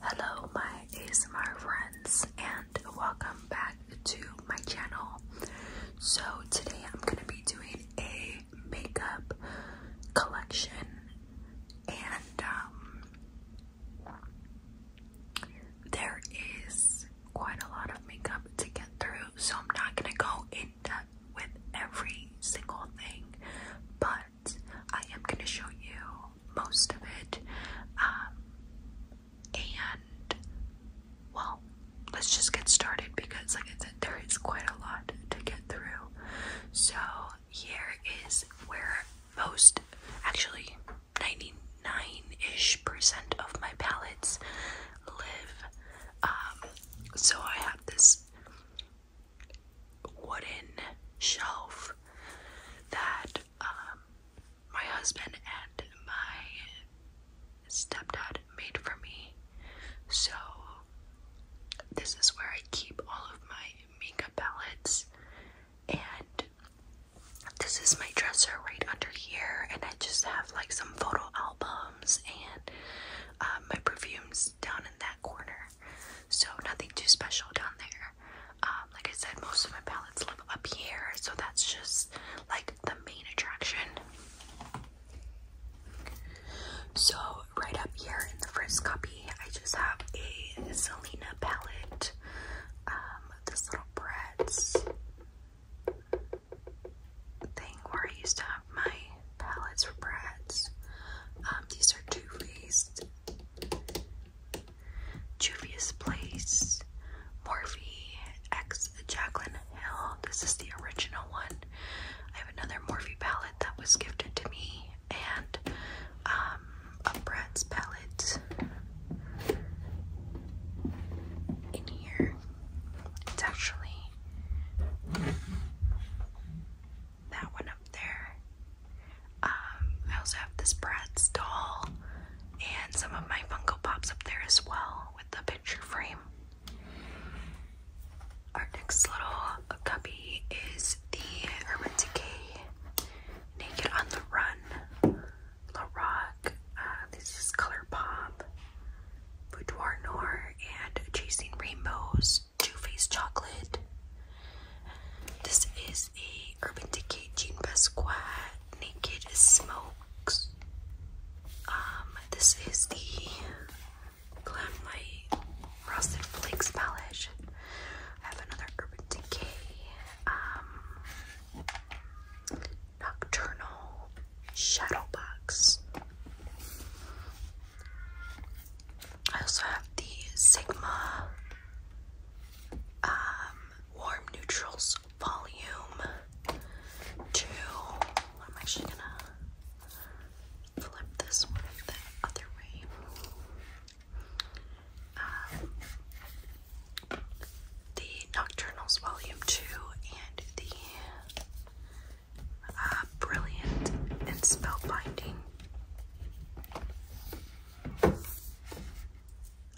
Hello, my ASMR friends, and welcome back to my channel. So, today I'm going to be doing a makeup collection, and um, there is quite a lot of makeup to get through, so I'm not going to go in depth with every single thing, but I am going to show you most of it. Um, and well, let's just get started because, like I said, there is quite a lot to get through. So, here is where most actually 99 ish percent of my palettes live. Um, so, I have this wooden shelf that um, my husband and my stepdad made for me. So, this is where I keep all of my makeup palettes, and this is my dresser right under here. And I just have like some photo albums and um, my perfumes down in that corner. So nothing too special down there. Um, like I said, most of my palettes live up here, so that's just like the main attraction. So right up here in the first copy, I just have a Selena palette. Um, this little Bratz thing where I used to have my palettes for Bratz. Um, these are Too Faced, Juvia's Place, Morphe X Jacqueline Hill. This is the original one. I have another Morphe palette that was gifted to me, and um, a Bratz palette in here. It's actually that one up there. Um, I also have this Bratz doll and some of my Funko Pops up there as well with the picture frame. Our next little cubby is the Urban Decay Naked on the Run La uh, this is Color Pop. Boudoir Noir and Chasing Rainbows Too Faced Chocolate. This is a Urban Decay Jean Pasquat Naked Smokes. Um, this is the Glam Light Frosted Flakes palette. I have another Urban Decay um, Nocturnal Shadowbox. I also have the Sigma um, Warm Neutrals Volume 2. I'm actually gonna flip this one the other way. Um, the Nocturnals Volume 2 and the uh, brilliant and spellbinding.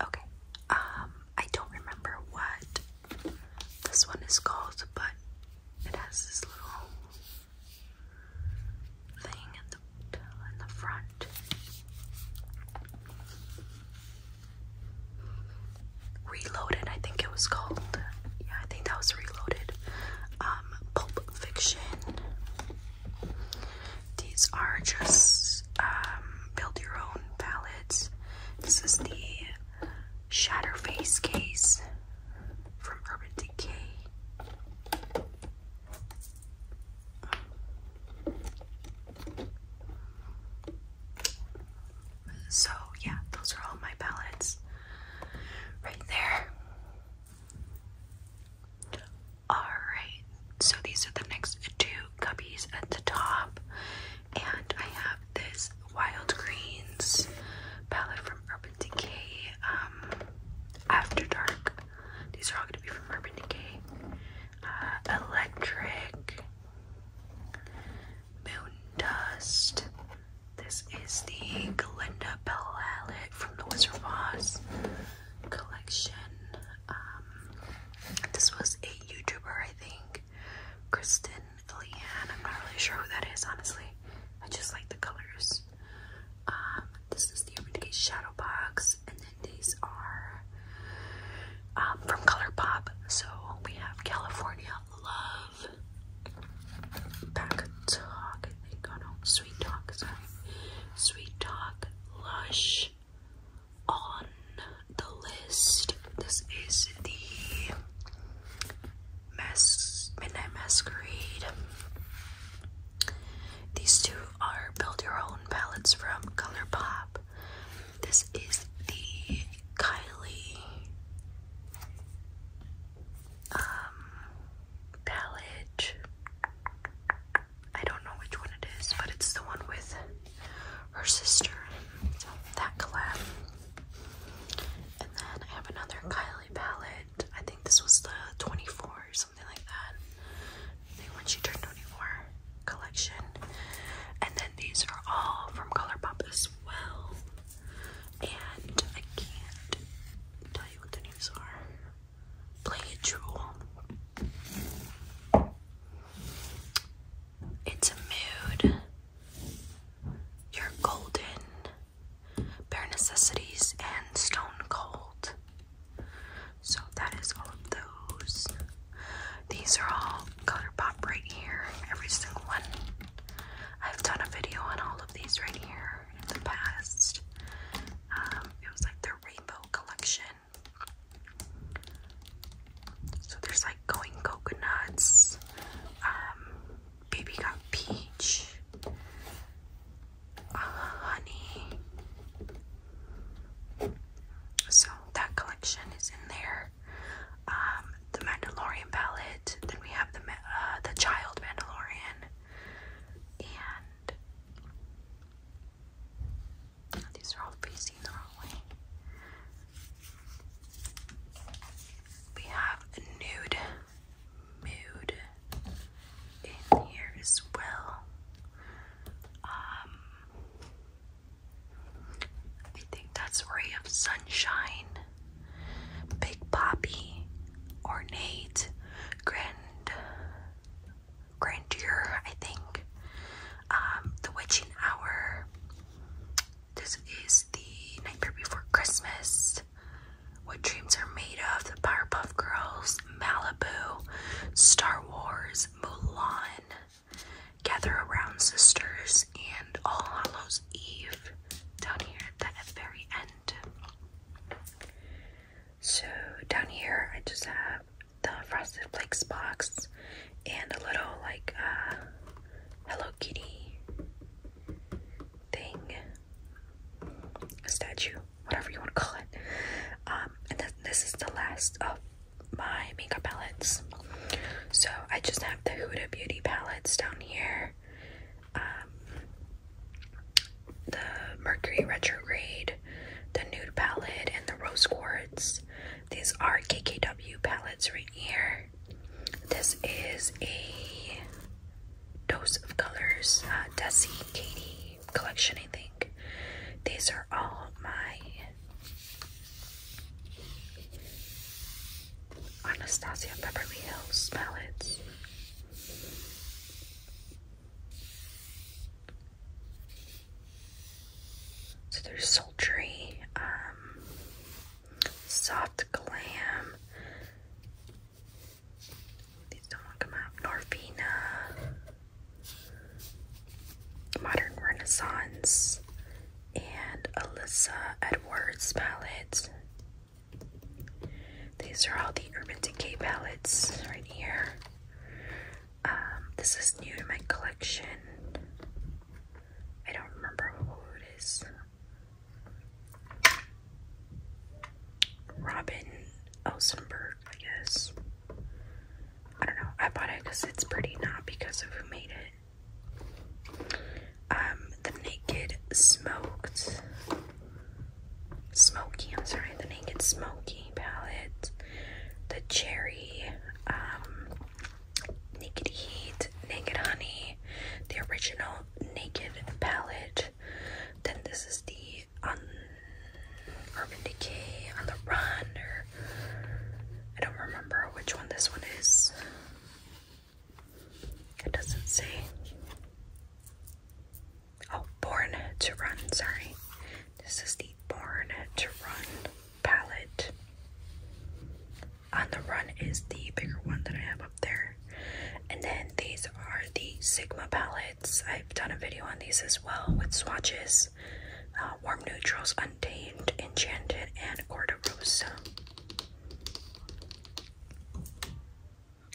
Okay, um, I don't remember what this one is called, but it has this little thing at the in the front. Reloaded, I think it was called. Yeah, I think that was Reloaded. Um, Pulp Fiction. These are just um, build your own palettes. This is the Shatterface case from Urban Decay. So, yeah, those are all my palettes right there. Alright, so these are the next two cubbies at the top. And I have this Wild Greens palette from Urban Decay um, After Dark. These are all going to be from Urban Decay. Uh, electric. Moon Dust. This is the Glinda palette from the Wizard of Oz collection. Um, this was a YouTuber, I think, Kristen Leanne. I'm not really sure who that is, honestly. I just like the colors. Um, this is the Urban Decay Shadow Box, and then these are um, from ColourPop. So we have California love back talk, Oh no, sweet talk, sorry. Sweet talk, lush on the list. This is the Mas Midnight Masquerade. These two are build your own palettes from ColourPop. This is the Kylie um, palette. I don't know which one it is, but it's the one with her sister. that collab. And then I have another Kylie palette. I think this was the 24 or something like that. I think when she turned 24 collection. And then these are all from Colourpop as well and I can't tell you what their names are. Play it true. It's a mood. You're golden. Bare necessities and stone cold. So that is all of those. These are all color right here. Every single one. I've done a video on all of these right here in the past. Um, it was like the rainbow collection. So there's like going coconuts. Um, baby got peach. Uh, honey. So that collection is in there. Um, the Mandalorian palette. Then we have the uh, the Child Mandalorian, and these are all facing the wrong way. We have a nude mood in here as well. Um, I think that's Ray of Sunshine, Big Poppy, Ornate, Grand Grandeur, I think. Um, the Witching Hour. This is the night Before Christmas. What Dreams Are Made of, The Powerpuff Girls, Malibu, Star Wars, Mulan, Gather around, sisters, and All Hallows Eve down here at the very end. So, down here, I just have the Frosted Flakes box and a little like uh, Hello Kitty thing, a statue, whatever you want to call it. Um, and then this is the last of my makeup palettes. So I just have the Huda Beauty palettes down here. Um, the Mercury Retrograde, the Nude palette, and the Rose Quartz. These are KKW palettes right here. This is a Dose of Colors, uh, Desi Katie collection, I think. These are all my Anastasia Beverly Hills, smell it. So there's sultry, um, soft glam. These don't want to come out. Norvina, modern renaissance, and Alyssa Edwards palette. These are all the Urban Decay palettes right here. Um, this is new to my collection. I don't remember who it is. Robin Elsenberg, I guess. I don't know. I bought it because it's pretty, not because of who made it. Um, the Naked Smoked Smoky, I'm sorry, the Naked Smoky palette, the Cherry, um, Naked Heat, Naked Honey, the original Naked palette. Then this is the on Urban Decay on the Run, I don't remember which one this one is. It doesn't say. Oh, Born to Run, sorry. This is the Born to Run palette. On the Run is the bigger one that I have up there. And then these are the Sigma palettes. I've done a video on these as well with swatches. Um, warm neutrals, untamed, enchanted, and corderosa.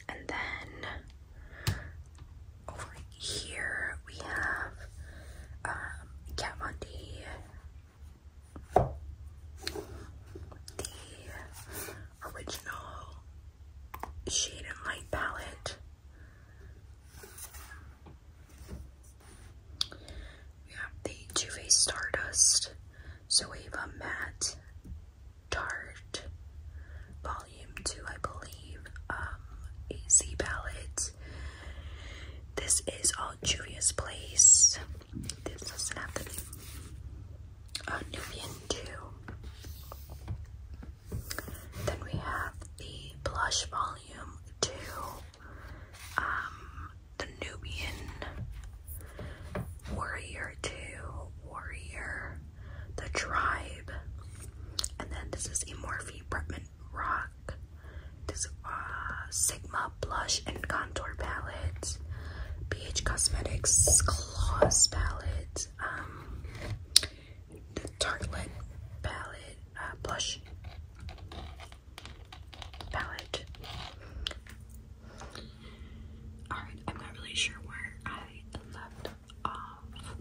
And then over here we have Kat Von D, the original shade and light palette. We have the Too Faced Stardust, Zoeva Matte Tarte, Volume 2, I believe, um, AZ palette. This is all Julia's Place. This doesn't have the name. Uh, 2. Then we have the Blush Volume 2. Um, the Nubian warrior two, warrior, the tribe, and then this is Amorphe Bretman Rock. This uh, Sigma Blush and Contour Palette, BH Cosmetics Gloss Palette, um, the Tartlet Palette, uh, Blush, palette. Alright, I'm not really sure where I left off.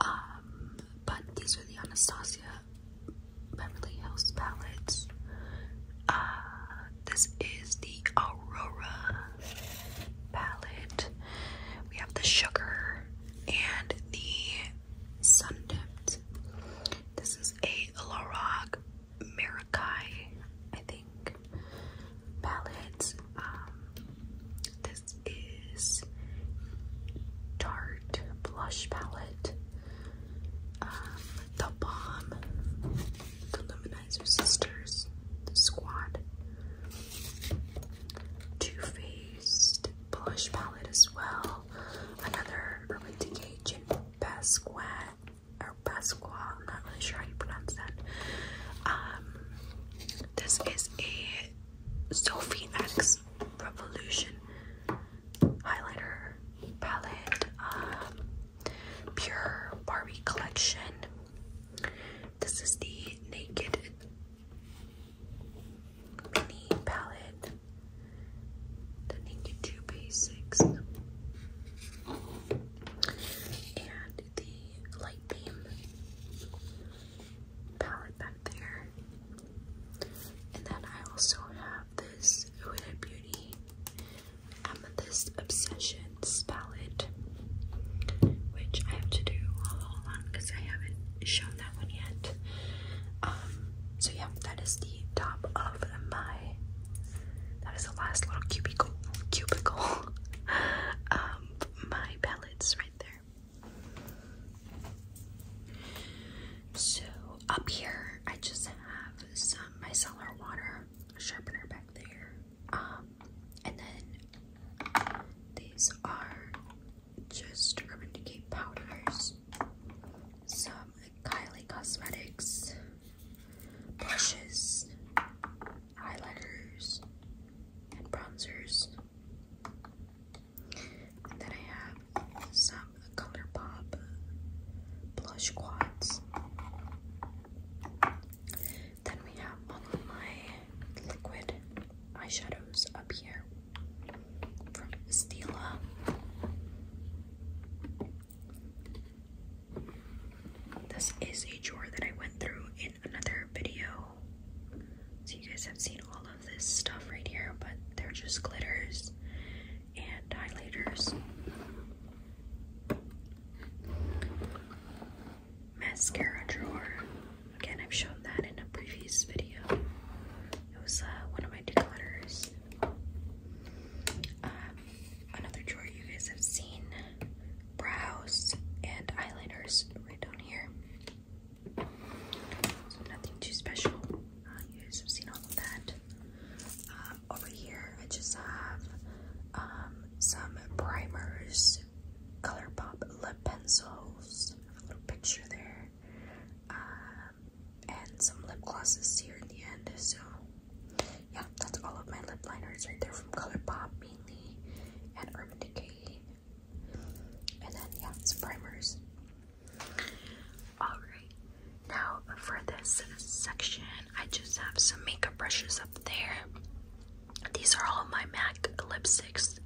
Um, but these are the Anastasia Beverly Hills palettes. Uh, this is the Aurora palette. We have the Sugar and the Sun Dipped. This is is a Lorac Mirakai, I think, palette. Um, this is Tarte Blush Palette. Um, the Bomb, the Luminizer Sisters, the Squad, Too Faced Blush Palette as well. Another early decay gin pasquat or pasqua, I'm not really sure how you pronounce that. Um, this is a Sophie X Revolution highlighter palette, um, pure Barbie collection. This is the Naked Mini palette with. Then you basics. And the light theme palette back there. And then I also have this Huda Beauty Amethyst Obsessions palette, which I have to do. because I haven't shown that one yet. Um, so yeah, that is the top of my that is the last little cubicle cubicle um, my palettes right there. So up here I just have some micellar water sharpener back there. Um, and then these are just Urban Decay powders, some Kylie Cosmetics brushes, eyeliners, and bronzers. And then I have some Color Pop blush quads. Then we have all of my liquid eyeshadows up here from Stila. This is a drawer that I went through in another video. So you guys have seen all of this stuff right here, but they're just glitters and dilators. Mascara drawer. Again, I've shown that in a previous video. It was uh, one of my declutters. Um, another drawer you guys have seen brows and eyeliners right down here. nothing too special. Uh, you guys have seen all of that. Um, over here, I just have um, some primers, ColourPop lip pencils. a little picture there and some lip glosses here in the end. So yeah, that's all of my lip liners right there from ColourPop mainly and Urban Decay. And then yeah, some primers. Alright, now for this section, I just have some makeup brushes up there. These are all my MAC lipsticks.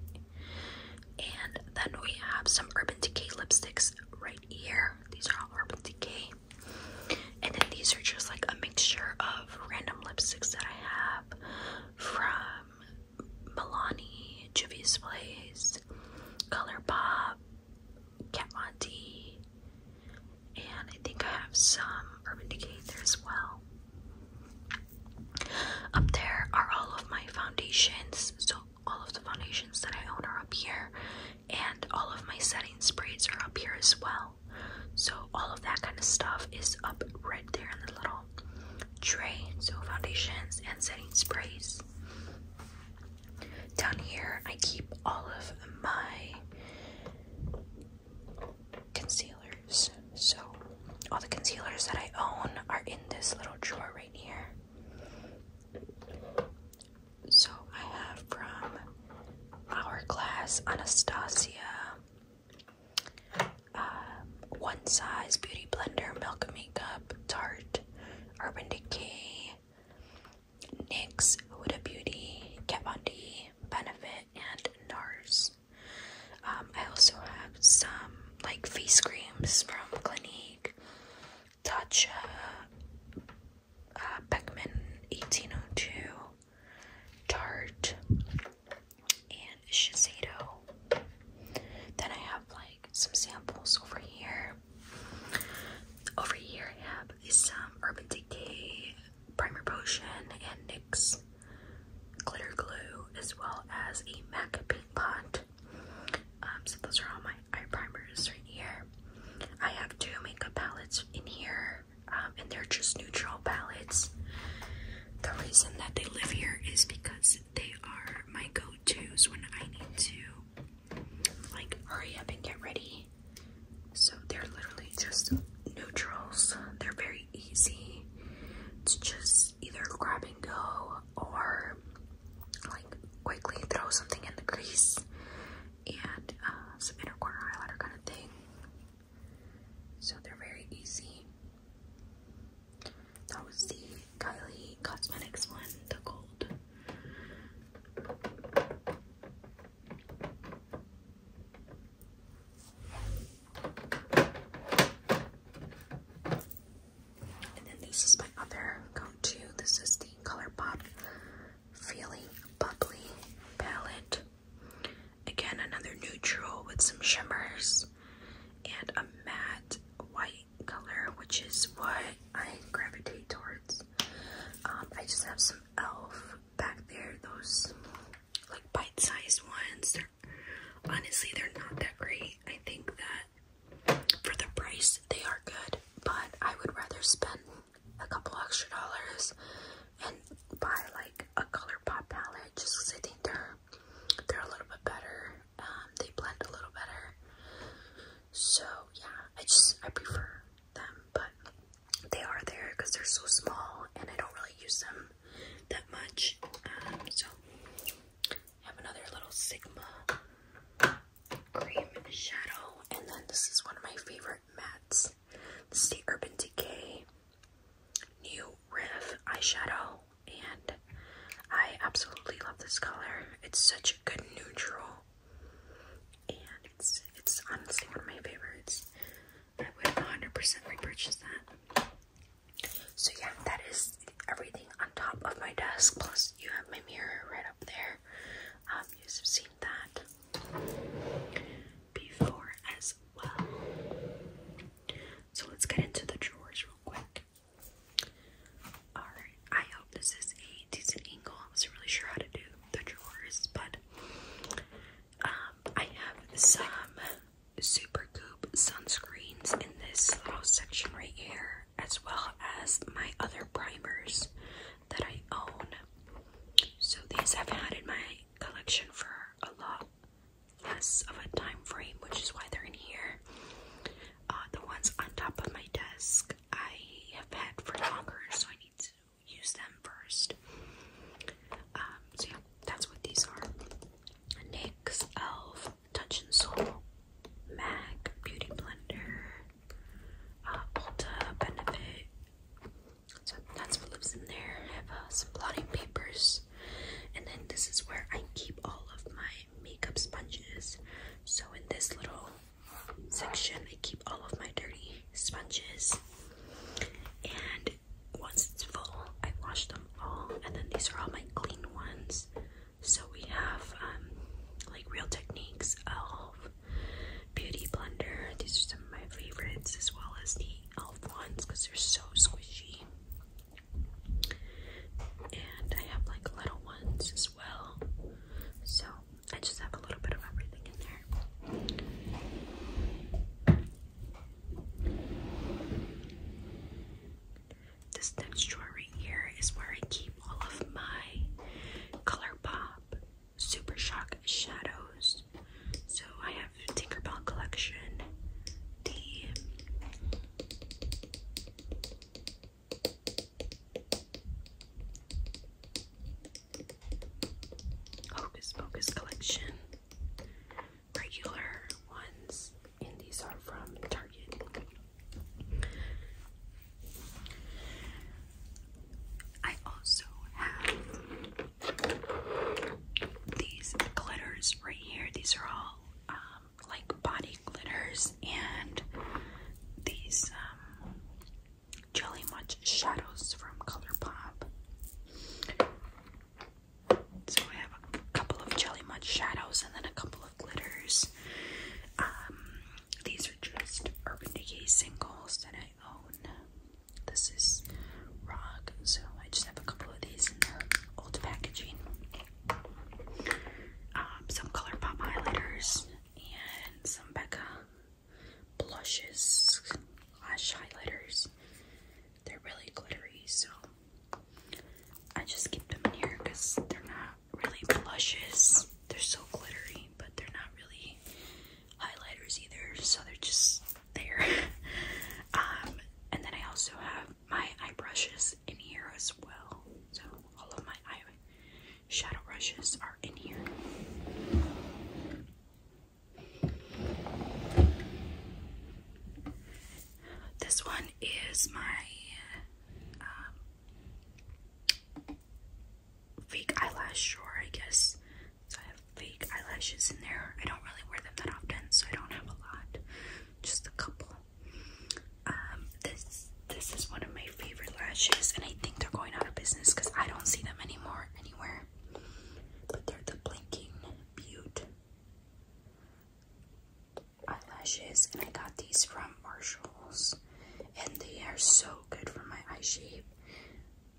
And then we have some Urban Decay lipsticks right here. These are all Urban Decay. And then these are just like a mixture of random lipsticks that I have from Milani, Juvia's Place, ColourPop, Kat Von D, and I think I have some Urban Decay there as well. Up there are all of my foundations. So all of the foundations that I own are up here, and all of my setting sprays are up here as well. So, all of that kind of stuff is up right there in the little tray. So, foundations and setting sprays. Down here, I keep all of my concealers. So, all the concealers that I own are in this little drawer right here. So I have from Hourglass Anastasia uh, One Size Beauty Blender Milk Makeup Tarte Urban Decay NYX Huda Beauty Kat Von D Benefit and NARS. Um, I also have some like face creams from Clinique Touch uh, 1802, uh, tart, and Shiseido. Then I have like some samples over here. Over here, I have some Urban Decay Primer Potion and NYX Glitter Glue, as well as a MAC Paint Pot. Um, so those are all my eye primer right here. I have two makeup palettes in here, um, and they're just neutral palettes. The reason that they live here is because they are my go-to's when I need to like hurry up and get ready. So they're literally just neutrals. They're very easy to just either grab and go or like quickly throw something in the crease and uh, some inner corner highlighter kind of thing. So they're very easy. That was the Kylie Cosmetics one, the gold. And then this is my other go-to. This is the ColourPop Feeling Bubbly Palette. Again, another neutral with some shimmers and a matte white color, which is what I gravitate towards. Um, I just have some e.l.f. back there, those like bite-sized ones. honestly, they're not that great. I think that for the price, they are good. But I would rather spend a couple extra dollars and buy like a ColourPop palette just because I think they're they're a little bit better. Um, they blend a little better. So yeah, I just I prefer them, but they are there because they're so small and I don't really use them that much. Um, so have another little Sigma cream shadow. And then this is one of my favorite mattes. This is the Urban Decay New Riff eyeshadow. And I absolutely love this color. It's such a good neutral. And it's it's honestly one of my favorites. I would 100% repurchase that. So yeah, that is everything on top of my desk. Plus, you have my mirror right up there. Um, you have seen that before as well. So let's get into the drawers real quick. Alright, I hope this is a decent angle. I wasn't really sure how to do the drawers, but um, I have some Super Goop sunscreens in this little section right here as well as my other primers that I own. So these I've had in my collection for a long, less of a time frame, which is why they're in here. Uh, the ones on top of my desk I have had for longer, so I need to use them first. Um, so yeah, that's what these are. NYX, e.l.f., Touch and Soul, MAC, Beauty Blender, uh, Ulta, Benefit. So that's what lives in there. I have uh, some blotting papers. And then this is where I keep all of my makeup sponges. So in this little section, I keep all of my dirty sponges. And once it's full, I wash them all. And then these are all my clean ones. So we have um, like Real Techniques, Elf, Beauty Blender. These are some of my favorites, as well as the Elf ones because they're so squishy. And I have like little ones as well. So I just have a little bit of everything in there. This next drawer right here is where I keep all of my Color Pop Super Shock shadows. So I have Tinkerbell Collection, the Hocus Pocus Collection, regular ones, and these are from Target. I also have these glitters right here. These are all um, like body glitters and these um, Jelly mud shadows from ColourPop. So I have a couple of Jelly Much shadows and then a couple of glitters. Um, these are just Urban Decay singles that I own. This is rock, so I just have a couple of these in their old packaging. Um, some ColourPop highlighters and some Becca blushes lash highlighters. They're really glittery, so I just keep them in here because they're not really blushes. They're so glittery, but they're not really highlighters either, so they're just there. Um, and then I also have my eye brushes in here as well. So all of my eye shadow brushes are in here. This one is my um, fake eyelash sure I guess. So I have fake eyelashes in there. I don't really wear them that often, so I don't have a lot. Just a couple. Um, this this is one of my favorite lashes, and I think they're going out of business because I don't see them anymore anywhere. But they're the Blinking Butte eyelashes, and I got these from Marshalls, and they are so good for my eye shape.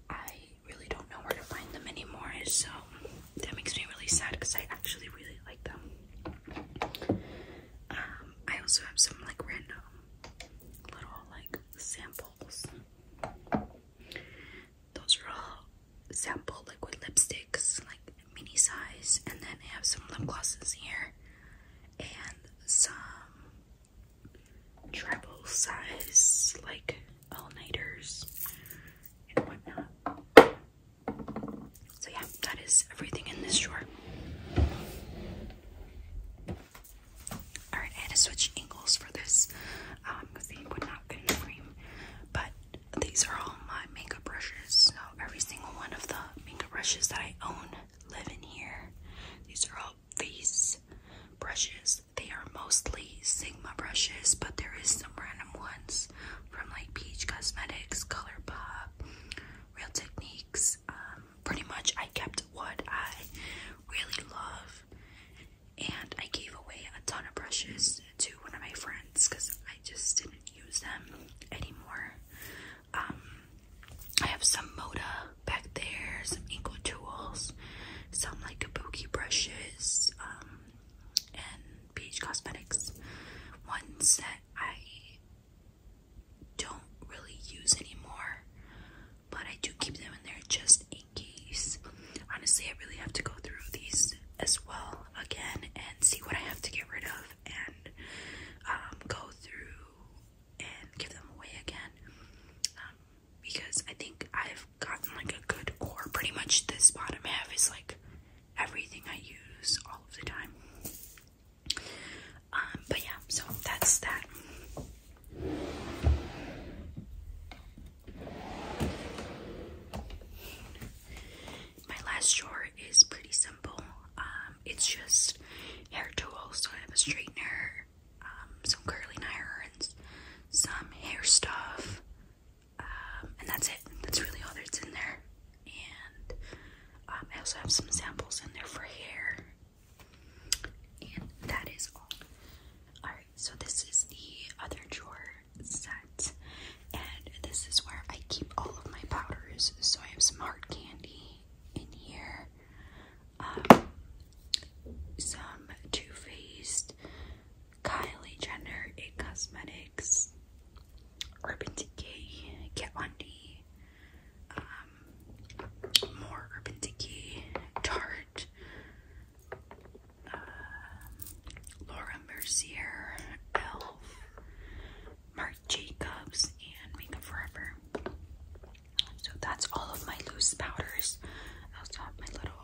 I really don't know where to find them anymore, so that makes me really sad because I actually really like them. Um, I also have some like random little like samples. Those are all sample liquid lipsticks, like mini size, and then I have some lip glosses here, and some treble size, like all nighters and whatnot. So, yeah, that is everything in this drawer. Alright, I had to switch angles for this um, But these are all my makeup brushes. So, every single one of the makeup brushes that I own live here. These are all face brushes. They are mostly Sigma brushes, but there is some random ones from like Peach Cosmetics, ColourPop, Real Techniques. Um, pretty much I kept what I really love and I gave away a ton of brushes to one of my friends because I just didn't use them anymore. Um, I have some Moda back there, some Inco tools, some like kabuki brushes, um, and Beach Cosmetics. Ones that I don't really use anymore, but I do keep them in there just in case. Honestly, I really have to go through these as well again and see what I have to get rid of and um, go through and give them away again um, because I think I've gotten like a good core. Pretty much this bottom half is like everything I use all of the time. Um, but yeah, so that's that my last drawer is pretty simple. Um, it's just hair tools. So I have a straightener, um, some curling irons, some hair stuff, um, and that's it. That's really all that's in there. And I also have some samples in there for hair. And that is all. Alright, so this is the other drawer set. And this is where I keep all of my powders. So I have some hard candy in here, um, some Too Faced, Kylie Jenner, It Cosmetics, Urban Decay, Get Undy, um, more Urban Decay, Tarte, um, Laura Mercier, Elf, Marc Jacobs, and Makeup Forever. So that's all of my loose powders. I also have my little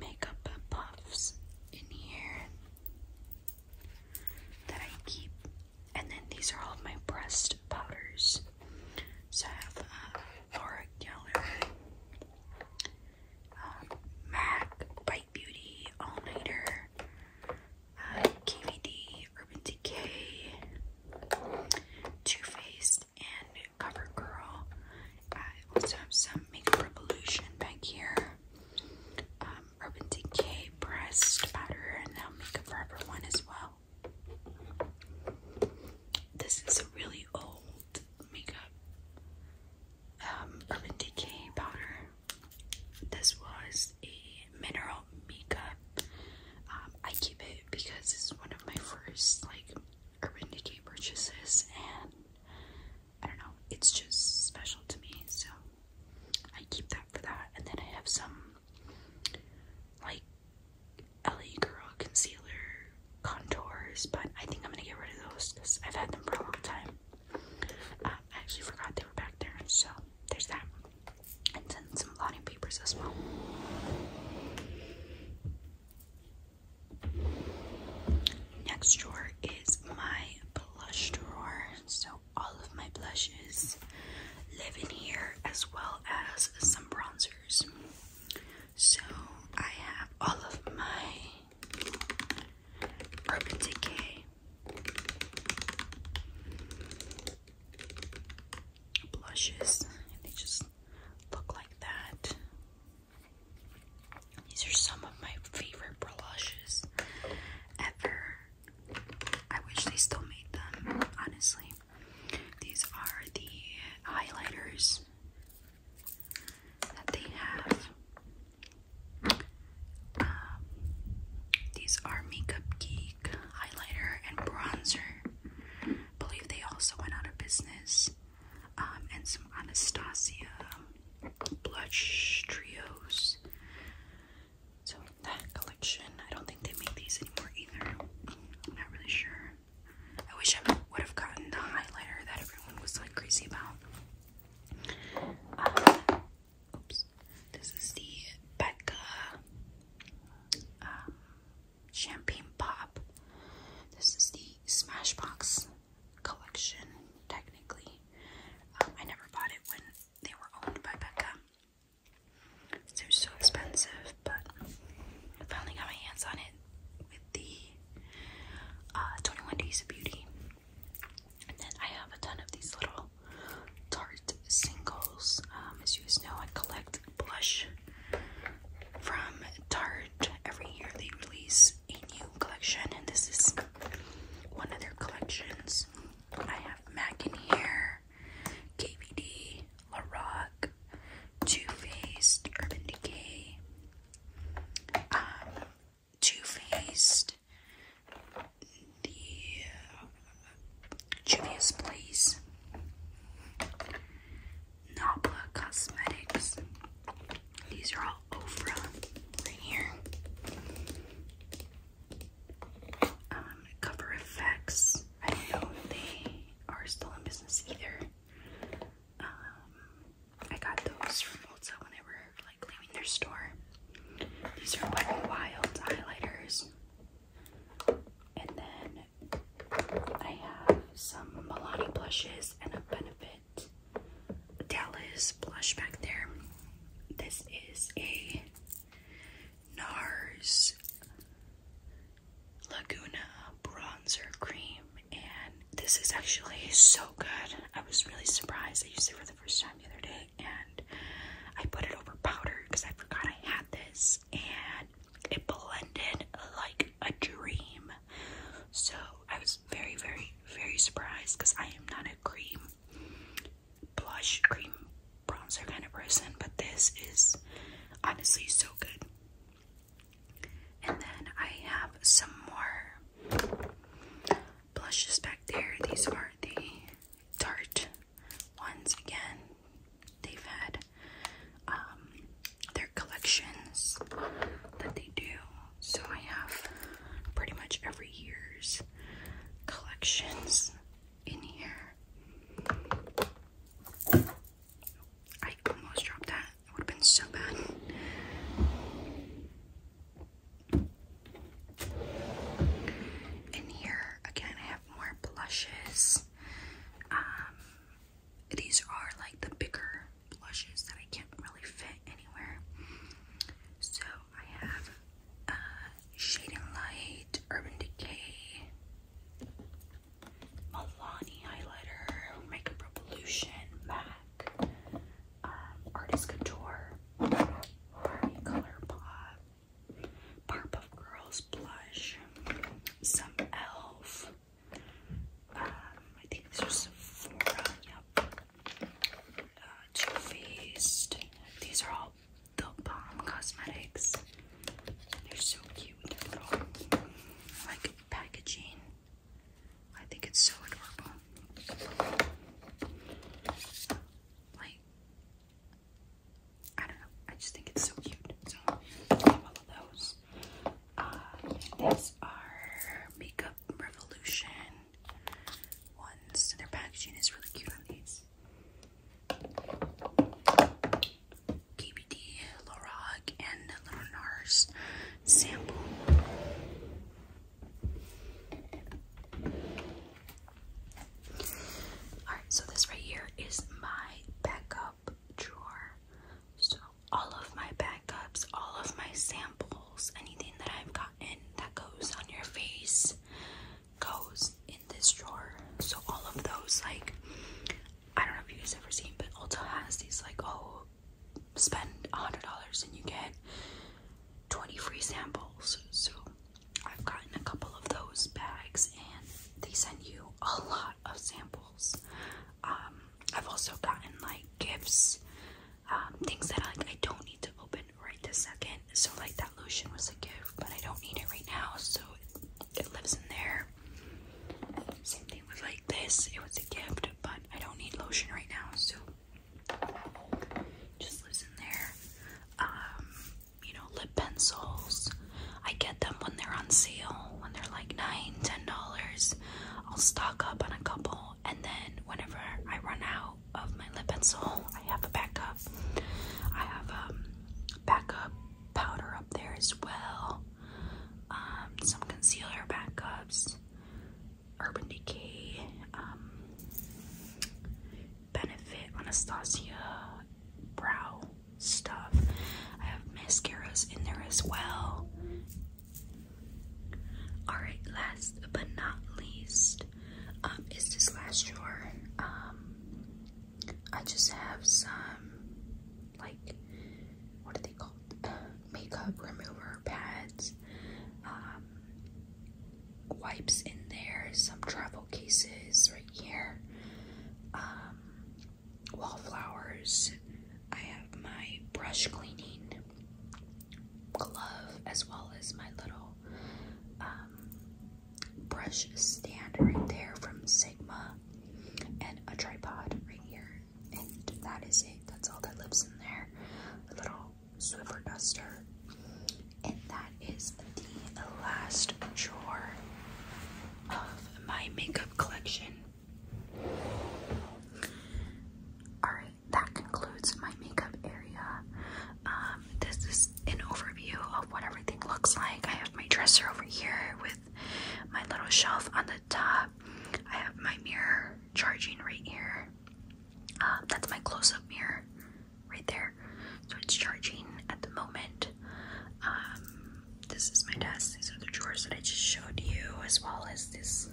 makeup puffs in here that I keep. And then these are all of my breast powders. So I have uh, Laura Geller, uh, MAC by Beauty, All Nighter, uh, KVD, Urban Decay, Too Faced, and CoverGirl. I also have some Makeup Revolution back here. Um, Urban Decay pressed powder, and now Makeup Forever one as well. This is a really old makeup um, Urban Decay powder this was a mineral makeup. Um, I keep it because it's one of my first like Urban Decay purchases, and I don't know, it's just special to me, so I keep that for that. And then I have some like LA Girl concealer contours, but I think I'm gonna get rid of those because I've had them for a long time. Uh, I actually forgot they were back there, so there's that. And then some blotting papers as well. Next drawer is my blush drawer. So all of my blushes live in here as well as some bronzers. So I have all of my Urban Decay blushes, and they just look like that. These are some of my favorite blushes ever. I wish they still made them, honestly. These are the highlighters that they have. Um, these are Makeup Geek highlighter and bronzer. believe they also went out of business. Um, and some Anastasia blush trios. So that collection. I don't think they make these anymore either. I'm not really sure. I wish I would have gotten the highlighter that everyone was like crazy about. Um, Oops. This is the Becca um, Champagne Pop. This is the Smashbox collection, technically. Um, I never bought it when they were owned by Becca. They're so expensive, but I finally got my hands on it with the uh, 21 Days of Beauty then I have a ton of these little Tarte singles. Um, as you guys know, I collect blush from Tarte. Every year they release a new collection, and this is one of their collections. I have MAC in here, KVD, LaRock, Too Faced, Urban Decay. Um, too Faced, the uh, Place, Nabla Cosmetics. These are all Ofra right here. Um, I don't know if they are still in business either. Um, I got those from Ulta whenever like their store. These are Wet n Wild highlighters. And then I have some Milani blushes and a Benefit Dallas blush back there. This is a NARS Laguna bronzer cream, and this is actually so good. I was really surprised. I used it for the first time the other day, and I put it over powder because I forgot I had this and it blended like a dream. So I was very, very, very surprised because I am not a cream blush, cream bronzer kind of person, but this is honestly so good. And then I have some more blushes back there. These are the Tarte ones again. They've had um, their collections that they do. So I have pretty much every year's collections in here. I almost dropped that. It would have been so bad. In here, again, I have more blushes. Um, these are like the bigger blushes that I can't really fit anywhere. So I have uh, Shade Light, Urban Decay, Milani Highlighter, Makeup Revolution, MAC, um, Artist Couture, Barbie Color Pop, Powerpuff Girls blush, some Elf. Um, I think these are Sephora. Yep. Uh, Too Faced. These are all the Balm Cosmetics. They're so cute with their little like packaging. I think it's so adorable. Like, I don't know. I just think it's so cute. So, I have all of those. Uh, these are Makeup Revolution ones. Their packaging is really cute on these. KBD, Lorag, and Little Nars sample. Alright, so this right here is my backup drawer. So, all of my backups, all of my samples, anything that I've gotten that goes on your face goes in this drawer. So, all of those, like, I don't know if you guys ever seen, but Ulta has these, like, oh, spend $100 and you get 20 free samples. So I've gotten a couple of those bags and they send you a lot of samples. Um, I've also gotten like gifts, um, things that I, I don't need to open right this second. So like that lotion was a gift, but I don't need it right now. So it lives in there. Same thing with like this. It was a gift, but I don't need lotion right now. So just lives in there. Um, you know, lip pencils. I get them when they're on sale, when they're like nine, ten dollars. I'll stock up on a couple, and then whenever I run out of my lip pencil, I have a backup. I have um backup powder up there as well. Um, some concealer backups. Urban Decay, um, Benefit Anastasia brow stuff. I have mascaras in there as well. Alright, last but not least um, is this last drawer. Um, I just have some, like, what are they called? makeup remover pads wipes in there, some travel cases right here, um, wallflowers. I have my brush cleaning glove as well as my little um, brush stand right there from Sigma and a tripod right here. And that is it. That's all that lives in there. A little Swiffer Duster. And that is the last drawer of my makeup collection. Alright, that concludes my makeup area. Um, this is an overview of what everything looks like. I have my dresser over here with my little shelf on the top. I have my mirror charging right here. Uh, that's my close-up mirror right there. So it's charging at the moment. Um, this is my desk. These are the drawers that I just showed you, as well as this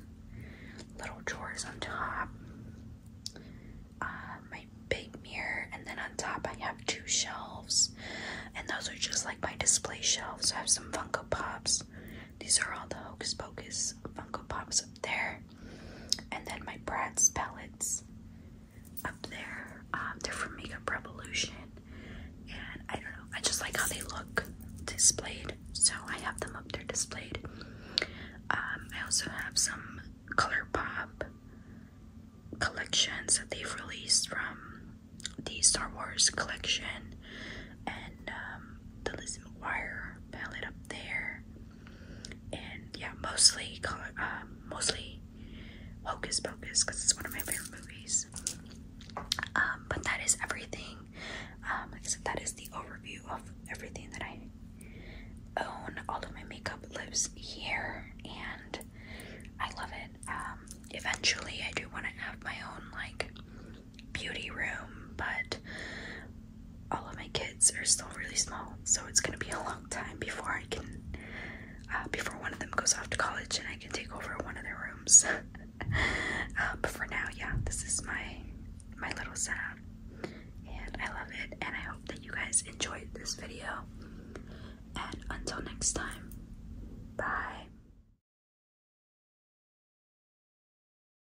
little drawers on top. Uh, my big mirror, and then on top I have two shelves, and those are just like my display shelves. I have some Funko Pops. These are all the Hocus Pocus Funko Pops up there. And then my Brad's palettes up there. Um, they're from Makeup Revolution. And I don't know, I just like how they look displayed. So I have them up there displayed. Um, I also have some Color Pop collections that they've released from the Star Wars collection and um, the Lizzie McGuire palette up there, and yeah, mostly uh, mostly Hocus Pocus because it's one of my favorite movies. Um, but that is everything. Um, like I said, that is the overview of everything that I own. All of my makeup lives here, and I love it. eventually, I do want to have my own like beauty room, but all of my kids are still really small, so it's gonna be a long time before I can, uh, before one of them goes off to college and I can take over one of their rooms. Uh, but for now, yeah, this is my my little setup, and I love it. And I hope that you guys enjoyed this video. And until next time, bye.